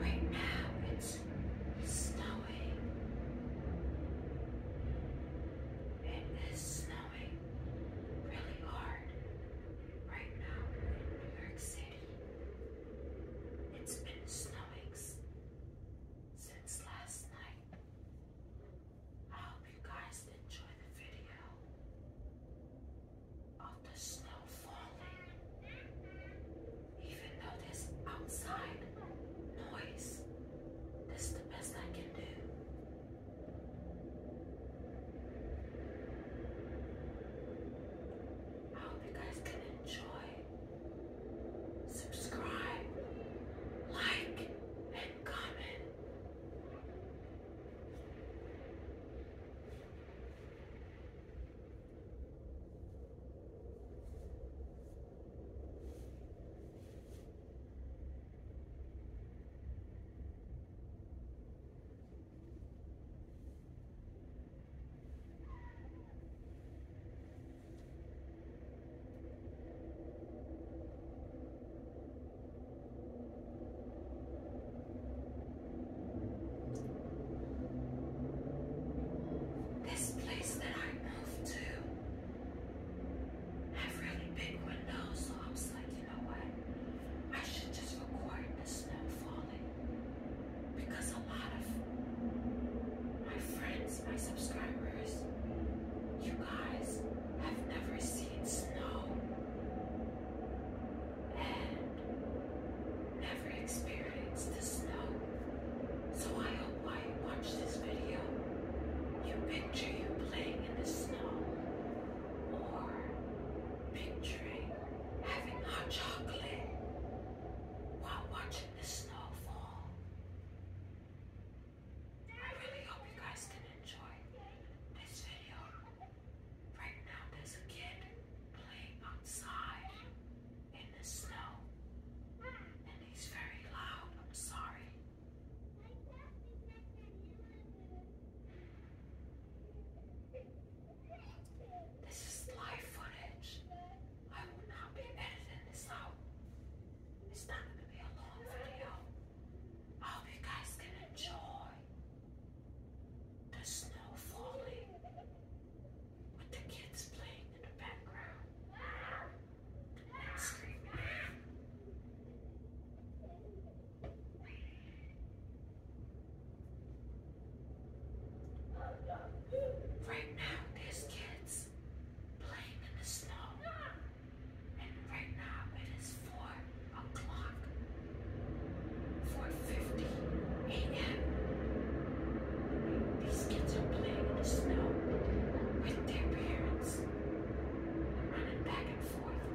Right now it's snowing. It is snowing really hard right now New York City. It's been snowing since last night. I hope you guys enjoy the video of the snow falling, even though there's outside noise. This is the best I can do. I hope you guys can enjoy subscribe, like, and comment. This place that I moved to have really big windows, so I was like, you know what? I should just record the snow falling. Because a lot of my friends, my subscribers, you guys have never seen snow and never experienced the snow. So I hope while you watch this video, you picture you playing in the snow or picturing having hot chocolate while watching the snow fall. I really hope you guys can enjoy this video. Right now, there's a kid playing outside in the snow, and he's very loud. I'm sorry. This is live footage. I will not be editing this out. It's not going to be a long video. I hope you guys can enjoy the snow falling with the kids playing in the background and screaming. Right now, there's kids playing in the snow. And right now, it is 4 o'clock, 4.50 a.m. These kids are playing in the snow with their parents, running back and forth.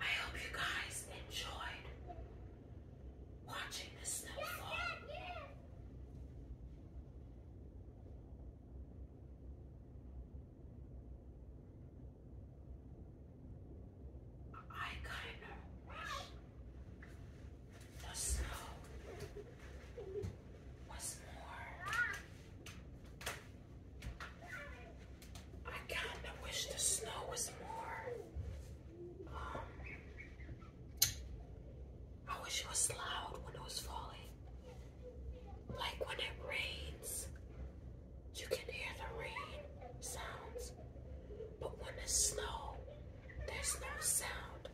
I hope you guys enjoyed watching this stuff fall. I kind of wish the snow was more. I kind of wish the snow was more. I wish it was loud when it was falling. Like when it rains, you can hear the rain sounds. But when it's snow, there's no sound.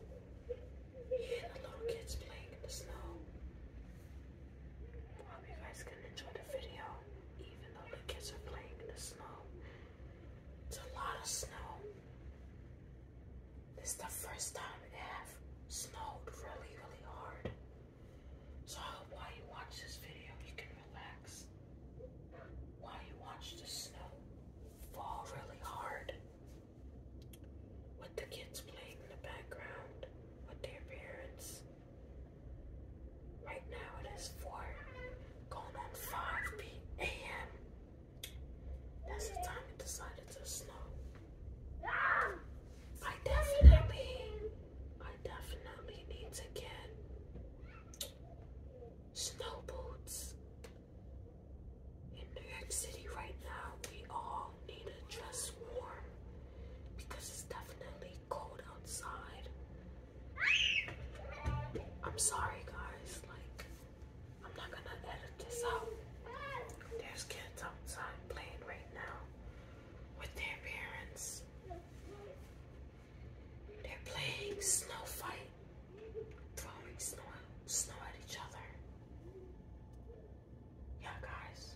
You hear the little kids playing in the snow. I hope you guys can enjoy the video even though the kids are playing in the snow. It's a lot of snow. This is the first time i have snowed really, really hard. So while you watch this video, you can relax. While you watch the snow fall really hard. With the kids playing in the background, with their parents. Right now it is 4 going on 5 p.m. That's the time it decided to snow. I definitely, I definitely need to get snow boots. In New York City right now, we all need to dress warm because it's definitely cold outside. I'm sorry, guys. Like, I'm not gonna edit this out. There's kids outside playing right now with their parents. They're playing snow fight, throwing snow, snow at each other. Yeah, guys,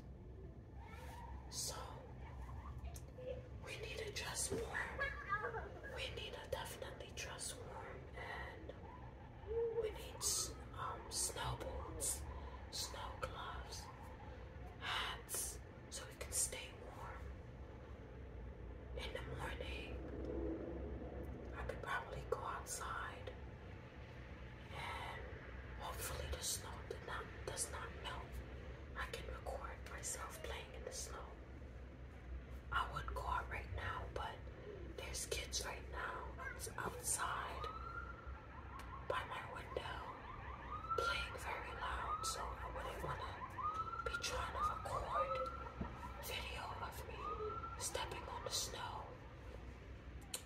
so we need to dress warm. We need to definitely dress warm and we need um, snowboards, snow gloves, hats so we can stay warm. In the morning, I could probably go outside and hopefully the snow did not, does not melt I can record myself playing in the snow. I wouldn't go out right now, but there's kids right now outside by my window playing very loud, so I wouldn't want to be trying to record video of me stepping on the snow.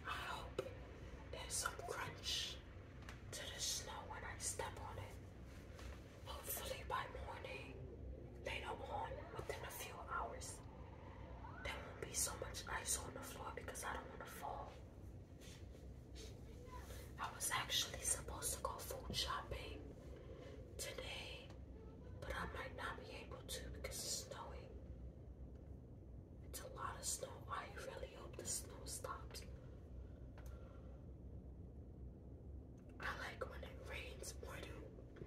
I hope there's some crunch to the snow when I step on it. Hopefully by morning, later on, within a few hours, there won't be so much ice on the floor because I don't want to fall. I was actually supposed to go food shopping today, but I might not be able to because it's snowing. It's a lot of snow. I really hope the snow stops. I like when it rains more than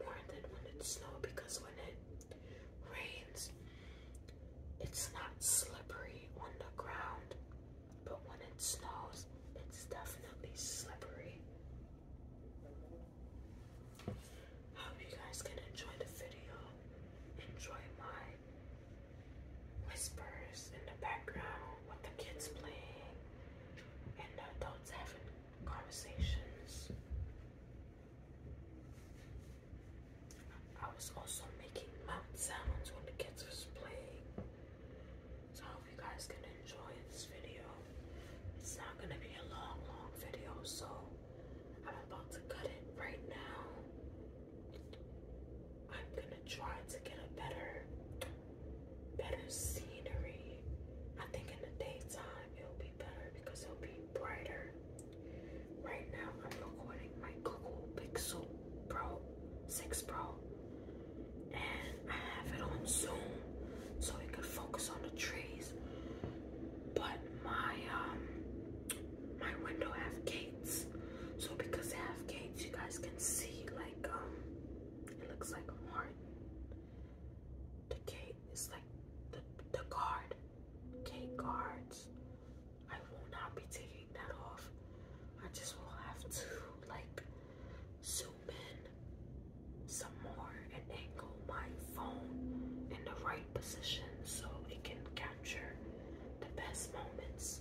more than when it snows because when it rains, it's not slippery on the ground. But when it snows, it's definitely slippery. hope you guys can enjoy the video. Enjoy my whispers in the background with the kids playing and the adults having conversations. I was also making mouth sounds when the kids was playing. So I hope you guys can enjoy this video. It's not gonna be a long, long video, so I'm about to cut it right now. I'm gonna try to get a better better scenery. I think in the daytime it'll be better because it'll be brighter. Right now I'm recording my Google Pixel Pro 6 Pro and I have it on Zoom so it can focus on the trees. But my um my window have gates. So because they have gates, you guys can see like um it looks like a heart. The gate is like the the guard. Gate guards. I will not be taking that off. I just will have to like zoom in some more and angle my phone in the right position so it can catch capture the best moments.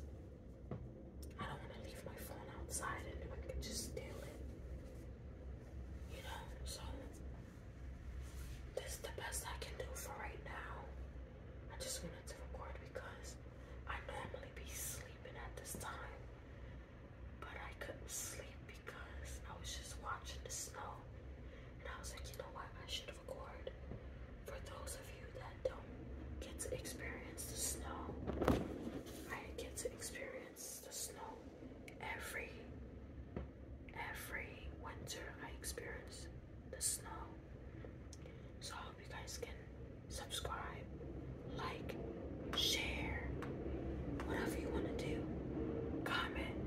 I don't want to leave my phone outside and anyone could just steal it. You know, so this is the best I can do for right now. I just wanted to record because I normally be sleeping at this time. But I couldn't sleep because I was just watching the snow. And I was like, you know what? I should for those of you that don't get to experience the snow. I get to experience the snow every every winter I experience the snow. So I hope you guys can subscribe, like, share, whatever you want to do. Comment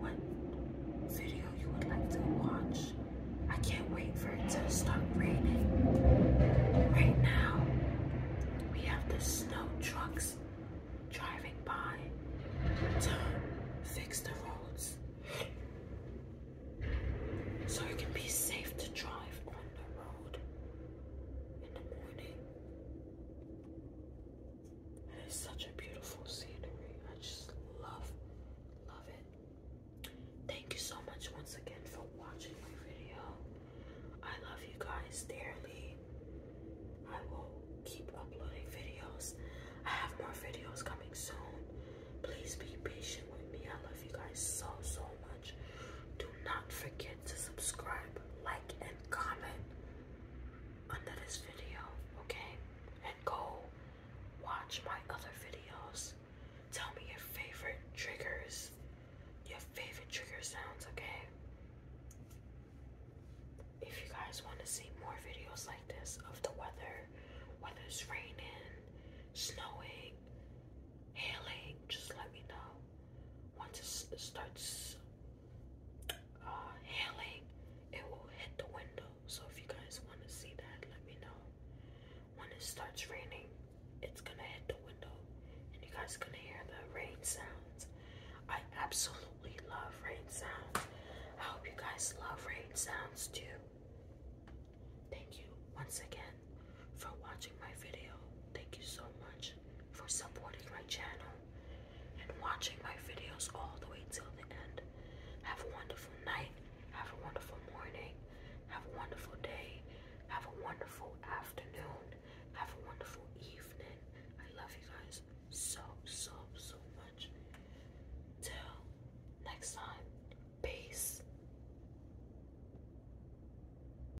what video you would like to watch. I can't wait for it to stop raining. Right now, we have the snow trucks driving by to fix the roads so it can be safe to drive on the road in the morning it's such a beautiful scenery. I just love, love it. Thank you so much once again for watching my video. I love you guys dearly. I will keep uploading videos. I have more videos coming soon. Please be patient with me. I love you guys so, so much. Do not forget to subscribe, like, and comment under this video, okay? And go watch my other videos. Tell me your favorite triggers, your favorite trigger sounds, okay? If you guys want to see more videos like this of the weather, whether it's raining, snowing, hailing, just let me know. Once it starts uh, hailing, it will hit the window. So if you guys want to see that, let me know. When it starts raining, it's gonna hit the window, and you guys gonna hear the rain sounds. I absolutely love rain sounds. I hope you guys love rain sounds too. Thank you once again for watching my video. Thank you so much for supporting my channel and watching my videos all the way till the end. Have a wonderful night. Have a wonderful morning. Have a wonderful day. Have a wonderful afternoon. Have a wonderful evening. I love you guys so, so, so much. Till next time. Peace.